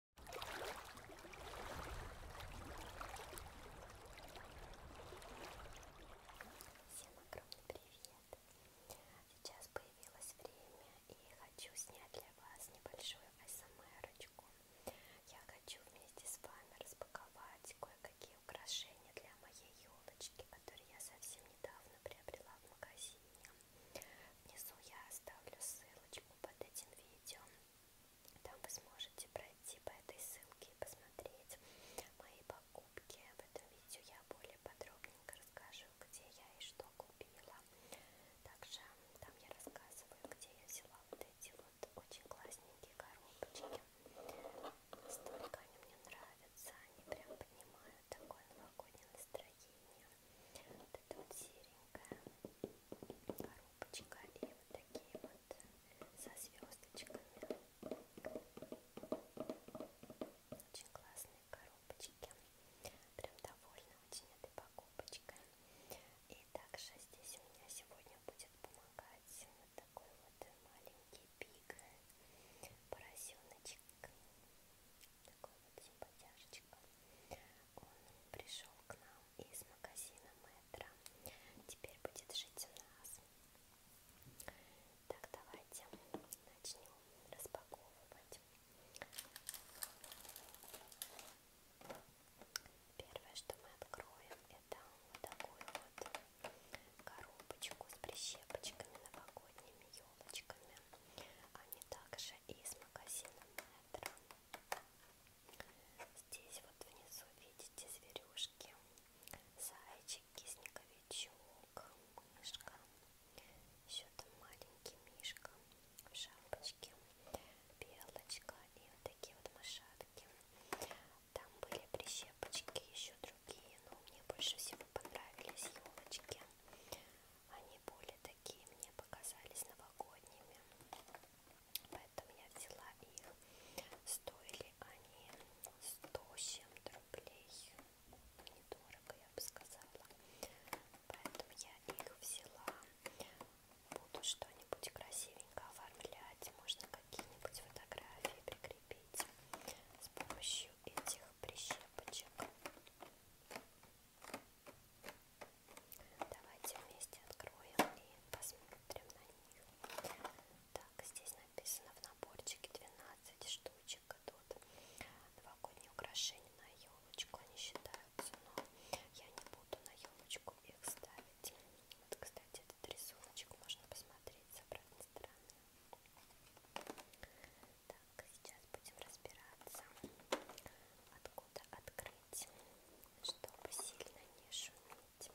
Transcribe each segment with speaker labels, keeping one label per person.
Speaker 1: Всем огромный привет! Сейчас появилось время и хочу снять для вас небольшую АСМРочку. Я хочу вместе с вами распаковать кое-какие украшения для моей елочки, которые я совсем недавно приобрела в магазине. Внизу я оставлю ссылочку под этим видео. Там вы сможете пройти по этой ссылке и посмотреть мои покупки. В этом видео я более подробненько расскажу, где я и что купила. Также там я рассказываю, где я взяла вот эти вот очень классненькие коробочки. Столько они мне нравятся, они прям поднимают такое новогоднее настроение. Вот это вот серенькая коробочка и вот такие вот со звездочками. Очень классные коробочки. Прям довольна очень этой покупочкой. И также здесь у меня сегодня будет помогать вот такой вот маленький пик поросеночек. Такой вот симпатяшечка. Он пришел к нам из магазина Метро. Теперь будет жить у нас. Так, давайте начнем распаковывать. Первое, что мы откроем, это вот такую вот коробочку с прищепочками новогодними елочками. Они также из магазина Метро. Здесь вот внизу видите зверюшки, зайчик, кисниковичок, мышка, еще там маленький мишка в шапочке, белочка и вот такие вот мышатки. Там были прищепочки, еще другие, но мне больше всего понравились елочки. Они более такие мне показались новогодними, поэтому я взяла их. Стоили они 100 чем-то рублей, недорого, я бы сказала. Поэтому я их взяла. Буду что-нибудь красивенько оформлять, можно какие-нибудь фотографии прикрепить с помощью этих прищепочек. Давайте вместе откроем и посмотрим на них. Так, здесь написано в наборчике 12 штучек идут. А Новогодние украшения на елочку они считаются, но я не буду на елочку их ставить. Вот, кстати, этот рисуночек можно посмотреть с обратной стороны. Так, сейчас будем разбираться, откуда откуда открыть, чтобы сильно не шуметь.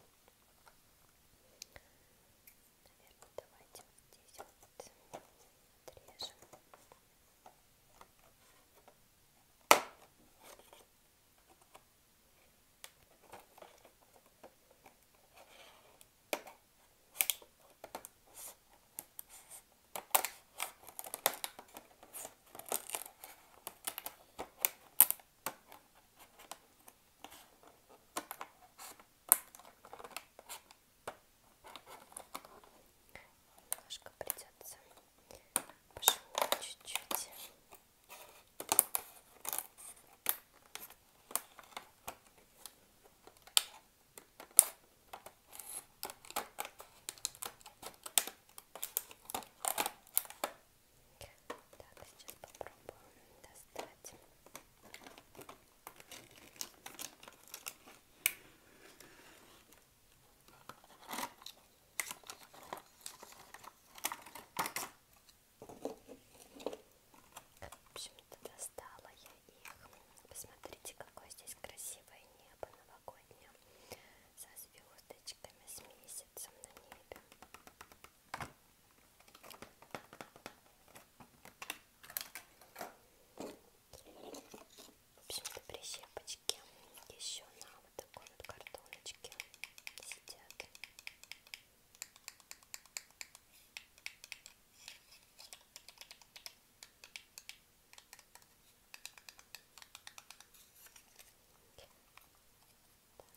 Speaker 1: Наверное, давайте вот здесь вот отрежем. Итак, Немножко придется пошел чуть-чуть. Так, так, сейчас попробуем достать. В общем-то достала я их. Посмотрите, какое здесь красивое небо новогоднее со звездочками, с месяцем на небе. В общем-то прищепочки еще на вот такой вот картоночке сидят.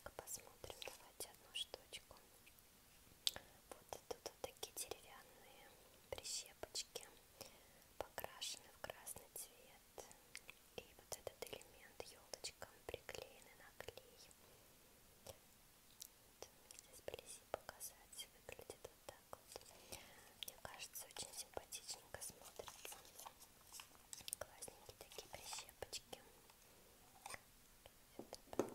Speaker 1: Так, посмотрим, давайте одну штучку. Вот тут вот такие деревянные прищепочки, покрашены в красный цвет. И вот этот элемент елочкам приклеены на клей. Вот, здесь вблизи показать, выглядит вот так так вот. Мне кажется, очень симпатичненько смотрится. Классненькие такие прищепочки. Это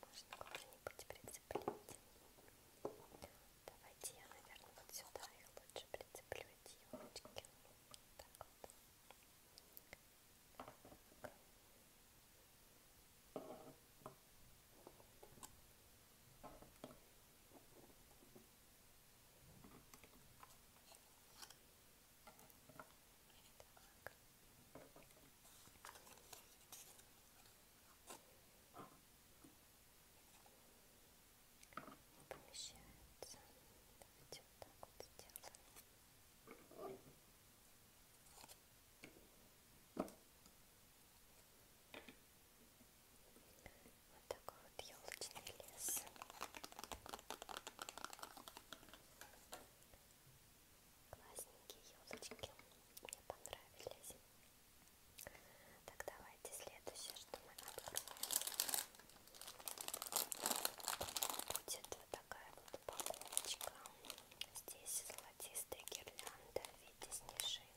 Speaker 1: поставим. Можно куда-нибудь прицеплить. Давайте я, наверное, вот сюда их лучше прицеплю, девочки. Вот так вот. Так. Помещается. Давайте давайте вот так вот сделаем. Вот такой вот елочный лес. Классненькие елочки. Мне понравились. Так, давайте следующее, что мы откроем. Будет вот такая вот упаковочка. Здесь золотистая гирлянда в виде снежинок.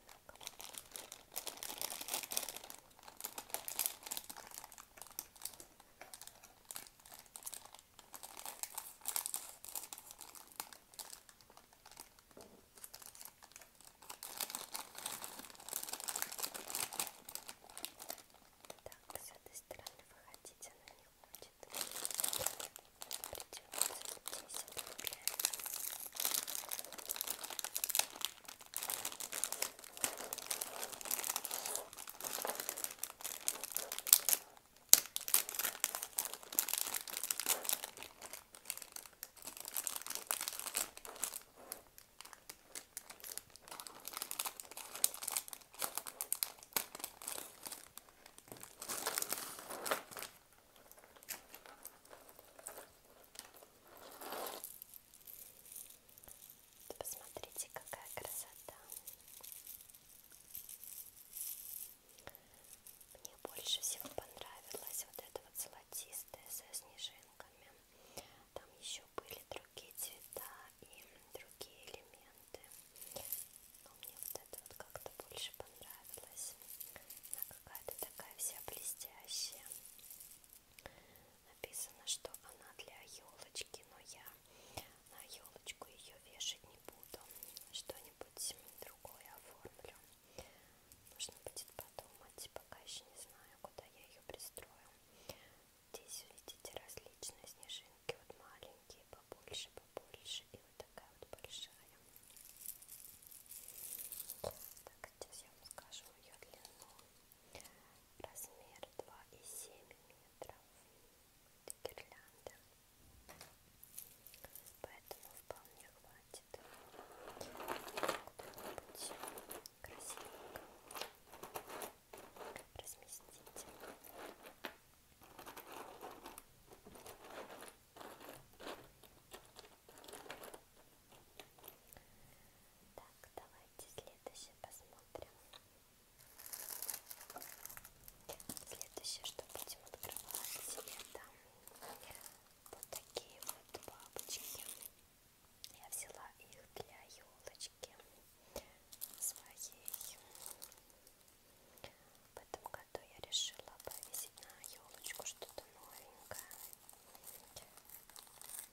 Speaker 1: Так, с этой стороны выходить она не хочет. Придется 10 рублей. Так, Посмотрите, какая красота. Мне больше всего понравилась вот эта вот золотистая со снежинками. Там еще были другие цвета и другие элементы. Но мне вот это вот как-то больше понравилось. Она какая-то такая вся блестящая. Написано, что она для елочки, но я на елочку ее вешать не буду. Что-нибудь другое оформлю. Нужно будет подумать, пока еще не знаю, куда я ее пристрою. Здесь видите различные снежинки, вот маленькие, побольше, побольше, и вот такая вот большая. Так, сейчас я вам скажу ее длину. Размер 2,7 метров. Это гирлянда. Поэтому вполне хватит. Куда-нибудь красивенько разместить. Так, давайте следующее посмотрим. Следующее, что будем открывать, это вот такие вот бабочки. Я взяла их для елочки своей. В этом году я решила повесить на елочку что-то новенькое.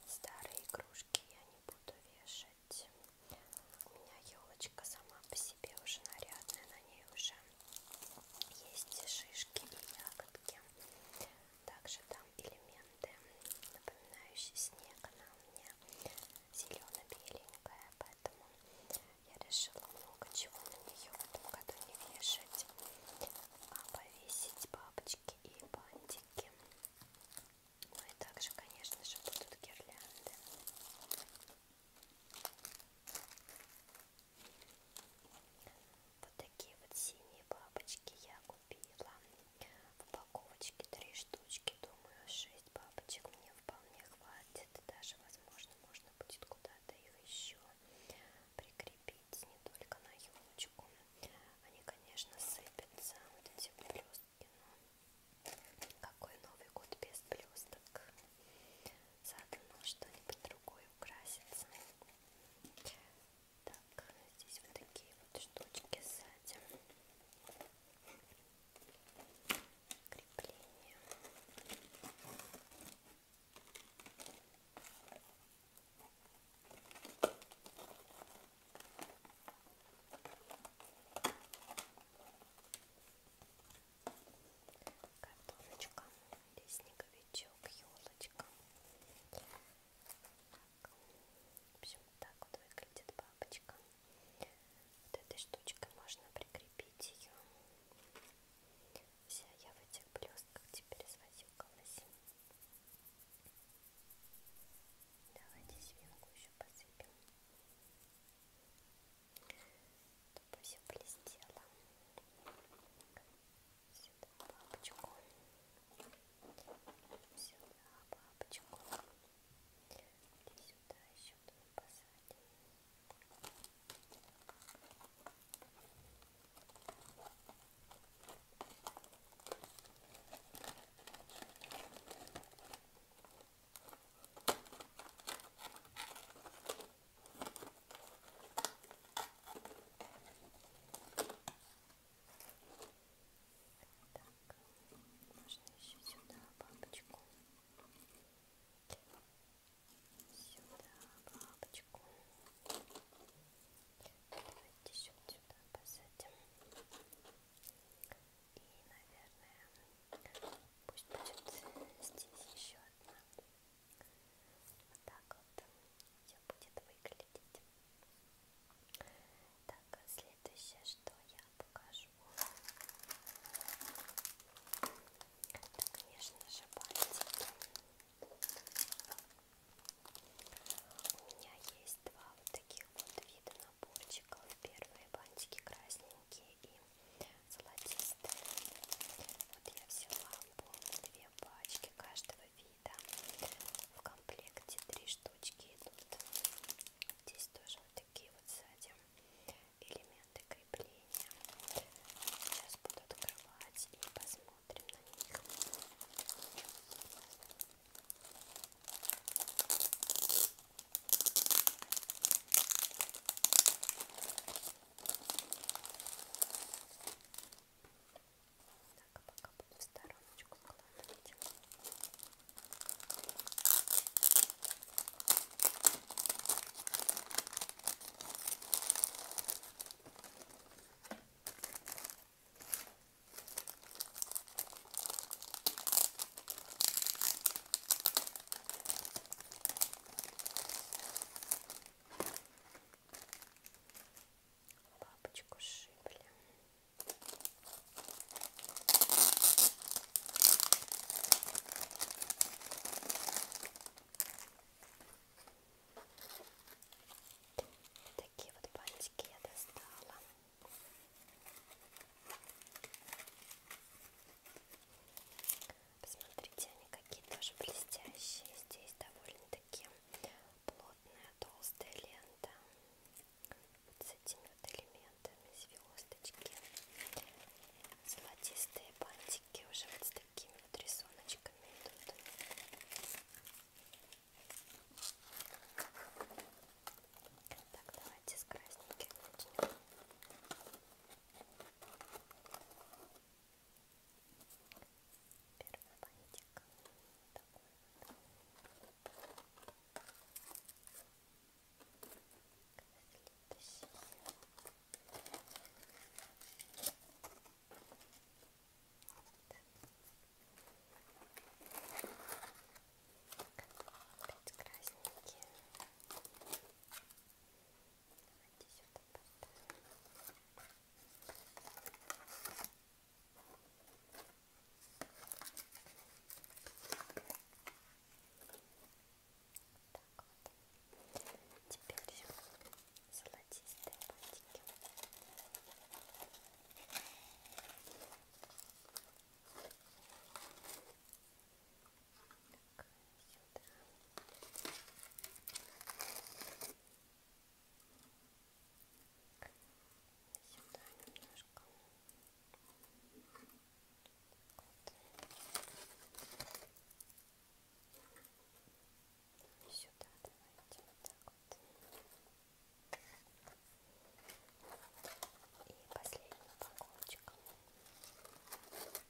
Speaker 1: Старые игрушки я не буду вешать. У меня елочка сама по себе уже нарядная, на ней уже есть шишки и ягодки. Также там элементы, напоминающие снег. Она у меня зелено-беленькая, поэтому я решила много чего на нее в этом году не вешать, а повесить бабочки и бантики. Ну и также, конечно же, будут гирлянды. Вот такие вот синие бабочки я купила в упаковочке три штучки, думаю, шесть бабочек мне вполне хватит, даже, возможно, можно будет куда-то их еще прикрепить, не только на елочку. Они, конечно, сыпятся, вот эти блестки, но какой Новый год без блесток? Заодно что-нибудь другое украсится. Так, здесь вот такие вот штучки сзади. Крепление. Картоночка, лесниковичок, елочка так. В общем, так вот выглядит папочка. Вот этой штучкой можно прикрепить ее. Вся я в этих блестках теперь свозюкалась. Давайте свинку еще посыпем. Чтобы все блестело. Сюда папочку. Вот сюда бабочку и сюда еще тут посадим так, нужно еще сюда бабочку. Сюда бабочку. Давайте еще сюда посадим. И, наверное, пусть будет здесь еще одна. Вот так вот все будет выглядеть выглядеть. Так, а следующее, что я покажу, это, конечно же, бантики. У меня есть два вот таких вот вида наборчиков. Первые бантики красненькие и золотистые. Вот я взяла, помню, две пачки каждого какие-то в комплекте три штучки идут здесь тоже вот такие вот сзади элементы крепления сейчас буду открывать и посмотрим на них так, а пока буду в стороночку складывать. Так, лапочку шибли. Такие вот бантики я достала. Посмотрите, они какие тоже блестящие. Здесь довольно-таки плотная толстая лента вот с этими вот элементами звездочки золотистые бантики уже вот с такими вот рисуночками идут так давайте с красненьких начнем Первый пакетик такой вот. Опять красненькие. Давайте сюда поставим вот. Теперь золотистые бантики. Так, сюда. Сюда немножко. Вот. Сюда давайте вот так вот. И последний упаковочка. Так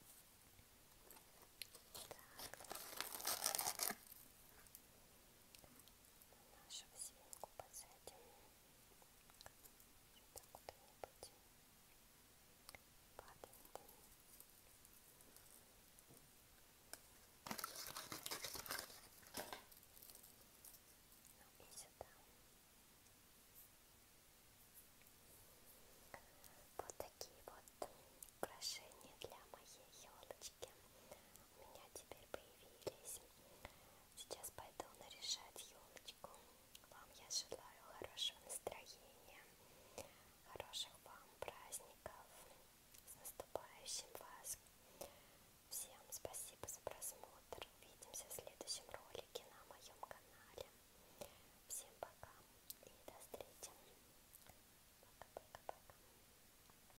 Speaker 1: нашего свинку посадим сюда куда-нибудь падает ну и сюда вот такие вот украшения для моей елочки у меня теперь появились. Сейчас пойду наряжать елочку. Вам я желаю хорошего настроения, хороших вам праздников, с наступающим вас. Всем спасибо за просмотр. Увидимся в следующем ролике на моем канале. Всем пока и до встречи. Пока-пока-пока.